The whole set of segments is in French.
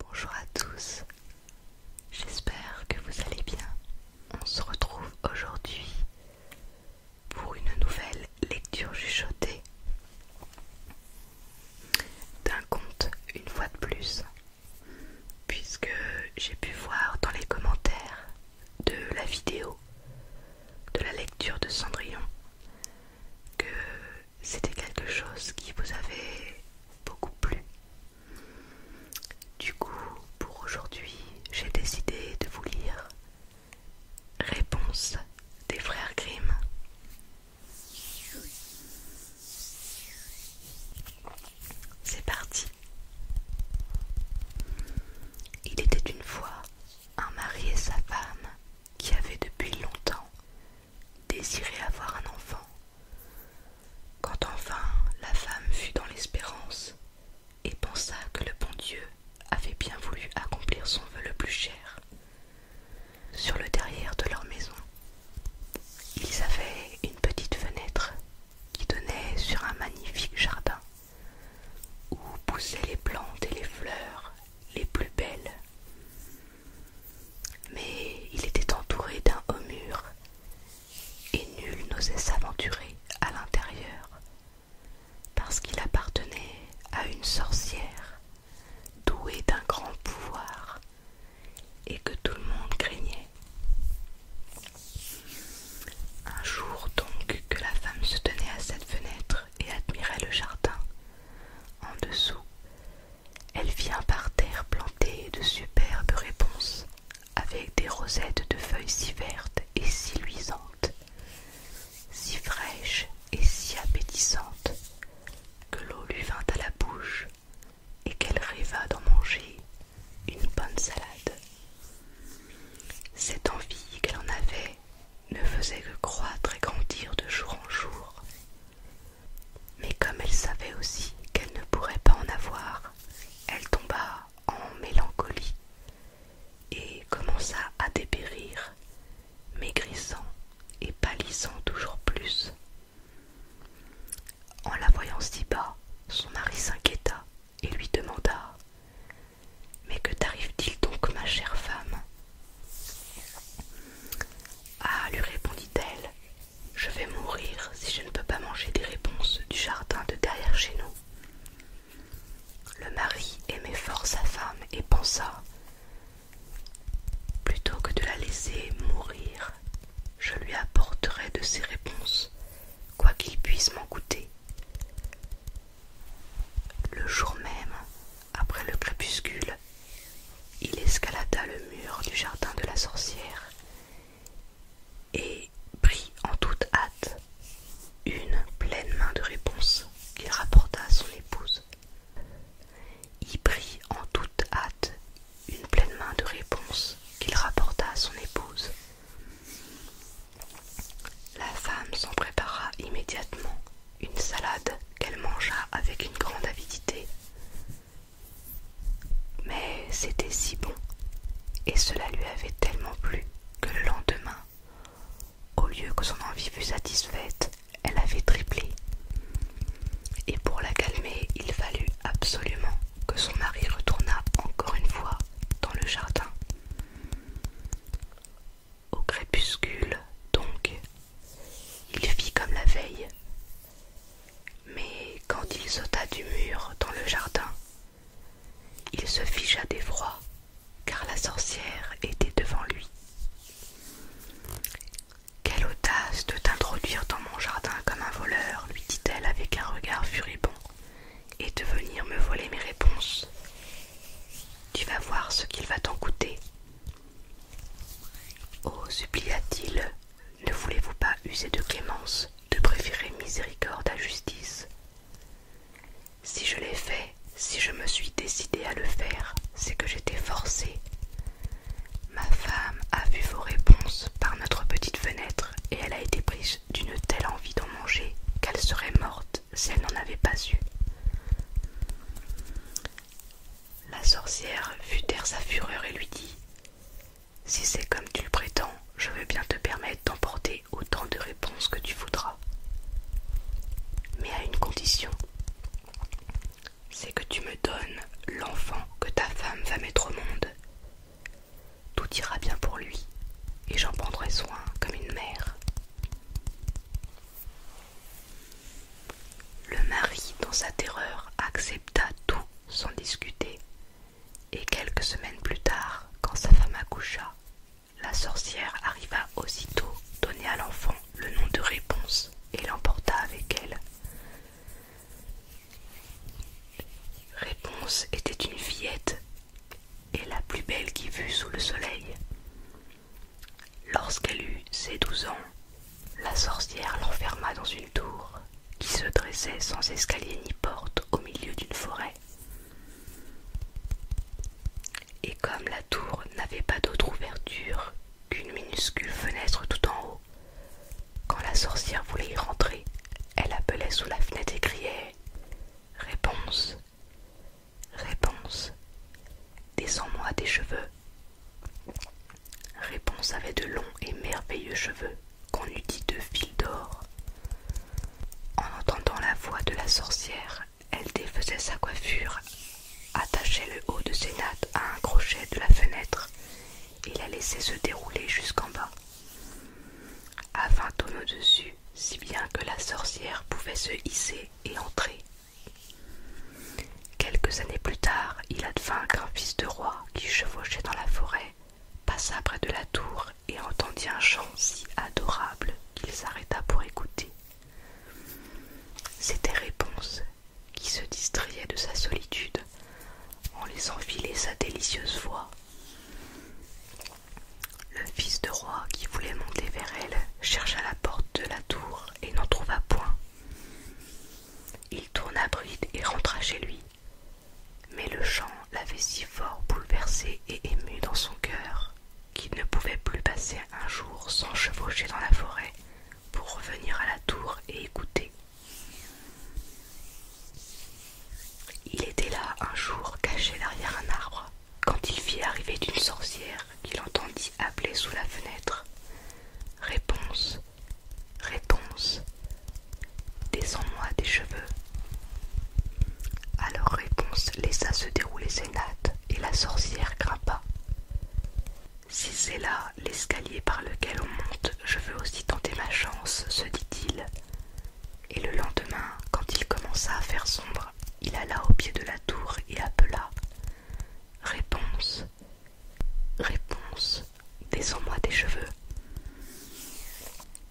Bonjour à tous, j'espère que vous allez bien. On se retrouve aujourd'hui pour une nouvelle lecture chuchotée d'un conte une fois de plus, puisque j'ai pu voir dans les commentaires de la vidéo de la lecture de Cendrillon que c'était quelque chose qui vous avait beaucoup plu. Du coup, pour aujourd'hui, j'ai décidé de vous lire Réponse des frères Grimm. C'est parti. Il était une fois un mari et sa femme qui avaient depuis longtemps désirait avoir un enfant. Quand enfin la femme fut dans l'espérance et pensa que le bon Dieu avait bien voulu accomplir son vœu le plus cher, sur le derrière de leur maison, ils avaient une petite fenêtre qui donnait sur un magnifique jardin où poussaient les plantes et les fleurs les plus belles. Mais il était entouré d'un haut mur et nul n'osait s'aventurer à l'intérieur parce qu'il appartenait à une sorcière douée d'un grand pouvoir et que tout le monde craignait. Un jour donc que la femme se tenait à cette fenêtre et admirait le jardin en dessous, elle vient par terre plantée de superbes réponses, avec des rosettes de feuilles si vertes et si luisantes, si fraîches et si appétissantes, que l'eau lui vint à la bouche et qu'elle rêva d'en manger une bonne salade. Cette envie qu'elle en avait ne faisait que croître et grandir de jour en jour, mais comme elle savait aussi qu'elle ne pourrait pas en avoir, elle tomba en mélancolie et commença à dépérir, maigrissant et pâlissant toujours plus. En la voyant si bas, son mari s'inquiéta et lui demanda Mais que t'arrive-t-il donc, ma chère femme ah, lui répondit-elle, je vais mourir si je ne peux pas manger des réponses du jardin de derrière chez nous. Le mari aimait fort sa femme et pensa Plutôt que de la laisser mourir, je lui apporterai de ses réponses, quoi qu'il puisse m'en coûter. Le jour même, après le crépuscule, il escalada le mur du jardin de la sorcière et prit en toute hâte une pleine main de réponse qu'il rapporta à son épouse. Il prit en toute hâte une pleine main de réponse qu'il rapporta à son épouse. La femme s'en prépara immédiatement une salade qu'elle mangea avec une grande avidité. Mais c'était si bon, et cela lui avait tellement plu que le lendemain, au lieu que son envie fût satisfaite, elle avait triplé. Et pour la calmer, il fallut absolument que son mari retournât encore une fois dans le jardin. Au crépuscule, donc, il fit comme la veille. Mais quand il sauta du mur dans le jardin, il se figea d'effroi, car la sorcière était devant lui. Quelle audace de t'introduire dans mon jardin comme un voleur, lui dit-elle avec un regard furibond, et de venir me voler mes réponses. Tu vas voir ce qu'il va t'en coûter. Oh, supplia-t-il, ne voulez-vous pas user de clémence, de préférer miséricorde à justice Si je l'ai fait, si je me suis décidé à le faire, c'est que j'étais forcé. Ma femme a vu vos réponses par notre petite fenêtre et elle a été prise d'une telle envie d'en manger qu'elle serait morte si elle n'en avait pas eu. La sorcière fut taire sa fureur et lui dit Si c'est comme tu le prétends, je veux bien te permettre d'emporter autant de réponses que tu voudras. Mais à une condition c'est que tu me donnes l'enfant que ta femme va mettre au monde. Tout ira bien pour lui, et j'en prendrai soin comme une mère. Le mari, dans sa terreur, accepta tout sans discuter, et quelques semaines plus tard, quand sa femme accoucha, la sorcière arriva aussitôt donner à l'enfant le nom de réponse et l'emporta avec elle. Réponse était une fillette et la plus belle qui vût sous le soleil. Lorsqu'elle eut ses douze ans, la sorcière l'enferma dans une tour qui se dressait sans escalier ni porte au milieu d'une forêt. Et comme la tour n'avait pas d'autre ouverture qu'une minuscule fenêtre tout en haut, quand la sorcière voulait y rentrer, elle appelait sous la fenêtre et criait Réponse Réponse Descends-moi des cheveux. Réponse avait de longs et merveilleux cheveux qu'on eût dit de fil d'or. En entendant la voix de la sorcière, elle défaisait sa coiffure, attachait le haut de ses nattes à un crochet de la fenêtre et la laissait se dérouler jusqu'en bas. À vingt au-dessus, si bien que la sorcière pouvait se hisser et entrer. Quelques années plus tard, il advint qu'un fils de roi qui chevauchait dans la forêt passa près de la tour et entendit un chant si adorable qu'il s'arrêta pour écouter. C'était Réponse qui se distrayait de sa solitude en laissant filer sa délicieuse voix. Le fils de roi, qui voulait monter vers elle, chercha la porte de la tour et n'en trouva point. Il tourna bride et rentra chez lui. Mais le chant l'avait si fort bouleversé et ému dans son cœur qu'il ne pouvait plus passer un jour sans chevaucher dans la forêt pour revenir à la tour et écouter. Il était là un jour caché derrière un arbre, quand il fit arriver d'une sorcière qu'il entendit appeler sous la fenêtre Réponse, réponse, descends-moi des cheveux. Alors Réponse laissa se dérouler ses nattes et la sorcière grimpa. Si c'est là l'escalier par lequel on monte, je veux aussi tenter ma chance, se dit-il. Et le lendemain, quand il commença à faire sombre, il alla au pied de la tour et appela Réponse, réponse, descends-moi des cheveux.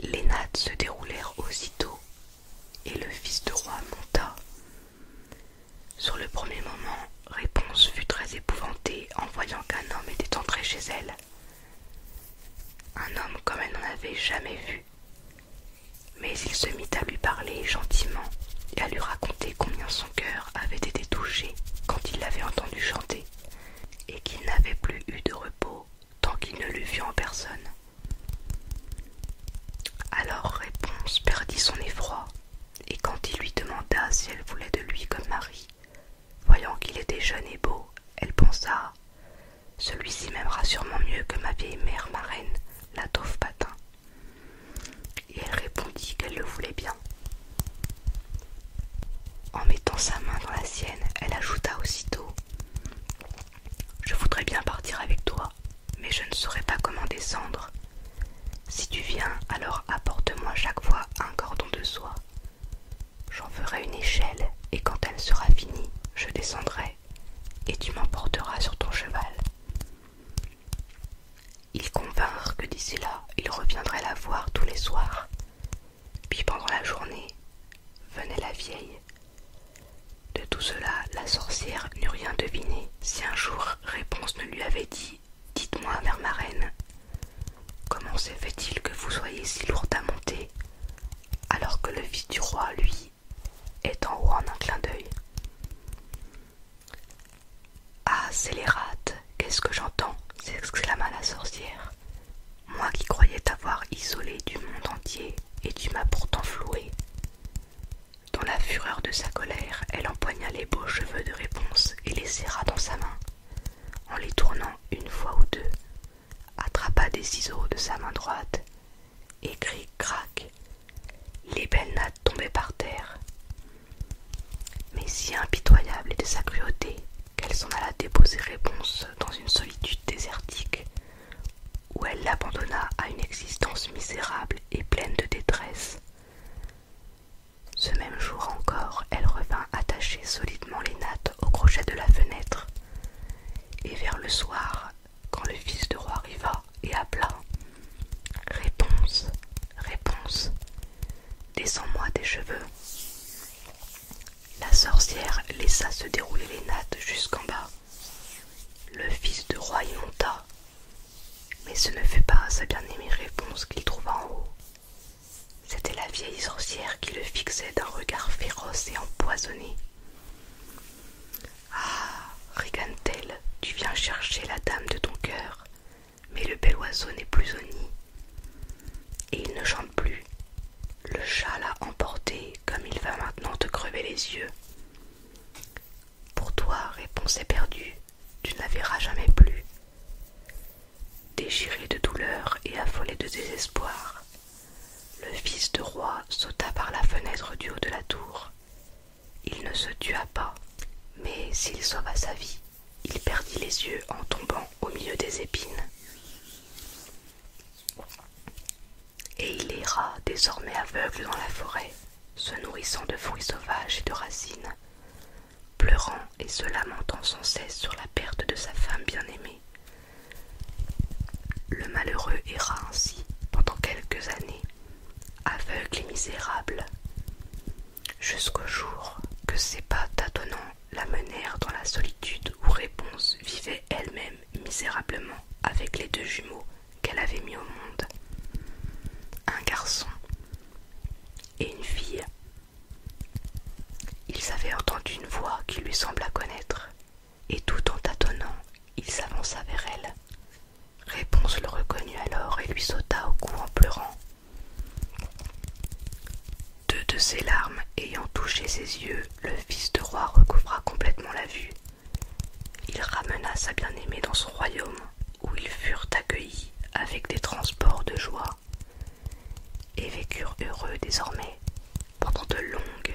Les nattes se déroulèrent aussitôt, et le fils de roi monta. Sur le premier moment, Réponse fut très épouvantée en voyant qu'un homme était entré chez elle. Un homme comme elle n'en avait jamais vu mais il se mit à lui parler gentiment et à lui raconter combien son cœur avait été touché quand il l'avait entendu chanter, et qu'il n'avait plus eu de repos tant qu'il ne l'eût vu en personne. Alors Réponse perdit son effroi, et quand il lui demanda si elle voulait de lui comme mari, voyant qu'il était jeune et beau, elle pensa celui-ci m'aimera sûrement mieux que ma vieille mère marraine, la toffe Patin. Et elle répondit qu'elle le voulait bien. En mettant sa main dans la sienne, elle ajouta aussitôt Je voudrais bien partir avec toi, mais je ne saurais pas comment descendre. Si tu viens, alors apporte-moi chaque fois un cordon de soie. J'en ferai une échelle et quand elle sera finie, je descendrai et tu m'emporteras sur ton cheval. Ils convinrent que d'ici là, il reviendrait la voir tous les soirs. Puis pendant la journée, venait la vieille. De tout cela, la sorcière n'eut rien deviné. Si un jour Réponse ne lui avait dit Dites-moi, mère marraine, comment se fait-il que vous soyez si lourde à monter alors que le fils du roi, lui, est en haut en un clin d'œil. Ah, scélérate, qu'est-ce que j'entends s'exclama la sorcière. Moi qui croyais t'avoir isolé du monde entier, et tu m'as pourtant floué. Dans la fureur de sa colère, elle empoigna les beaux cheveux de réponse et les serra dans sa main, en les tournant une fois ou deux, attrapa des ciseaux de sa main droite et cric-crac, les belles nattes tombaient par terre. Mais si impitoyable de sa cruauté qu'elle s'en alla déposer réponse dans une solitude désertique où elle l'abandonna à une existence misérable et pleine de détresse. Ce même jour encore, elle revint attacher solidement les nattes au crochet de la fenêtre et vers le soir, quand le fils de roi arriva et appela Réponse, réponse, descends-moi des cheveux. La sorcière laissa se dérouler les nattes jusqu'en bas. Le fils de roi y monta, mais ce ne fut pas à sa bien-aimée réponse qu'il trouva en haut. C'était la vieille sorcière qui le fixait d'un regard féroce et empoisonné. Ah, Rigantel, tu viens chercher la dame de ton cœur, mais le bel oiseau n'est plus au nid. Et il ne chante plus. Le chat l'a emporté comme il va maintenant te crever les yeux. Pour toi, réponse éperdue, tu ne la verras jamais plus. Déchiré de douleur et affolé de désespoir, le fils de roi sauta par la fenêtre du haut de la tour. Il ne se tua pas, mais s'il sauva sa vie, il perdit les yeux en tombant au milieu des épines. Et il erra désormais aveugle dans la forêt, se nourrissant de fruits sauvages et de racines, pleurant et se lamentant sans cesse sur la perte de sa femme bien-aimée. Le malheureux erra ainsi pendant quelques années, aveugle et misérable, jusqu'au jour que ses pas tâtonnants menèrent dans la solitude où Réponse vivait elle-même misérablement avec les deux jumeaux qu'elle avait mis au monde. Un garçon et une fille ils avaient entendu une voix qui lui sembla connaître, et tout en tâtonnant, il s'avança vers elle. Réponse le reconnut alors et lui sauta au cou en pleurant. Deux de ses larmes ayant touché ses yeux, le fils de roi recouvra complètement la vue. Il ramena sa bien-aimée dans son royaume, où ils furent accueillis avec des transports de joie et vécurent heureux désormais pendant de longues,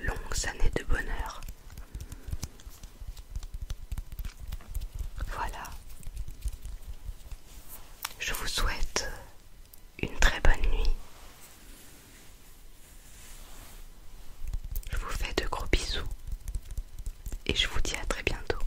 longues années de bonheur. Voilà. Je vous souhaite une très bonne nuit. Je vous fais de gros bisous et je vous dis à très bientôt.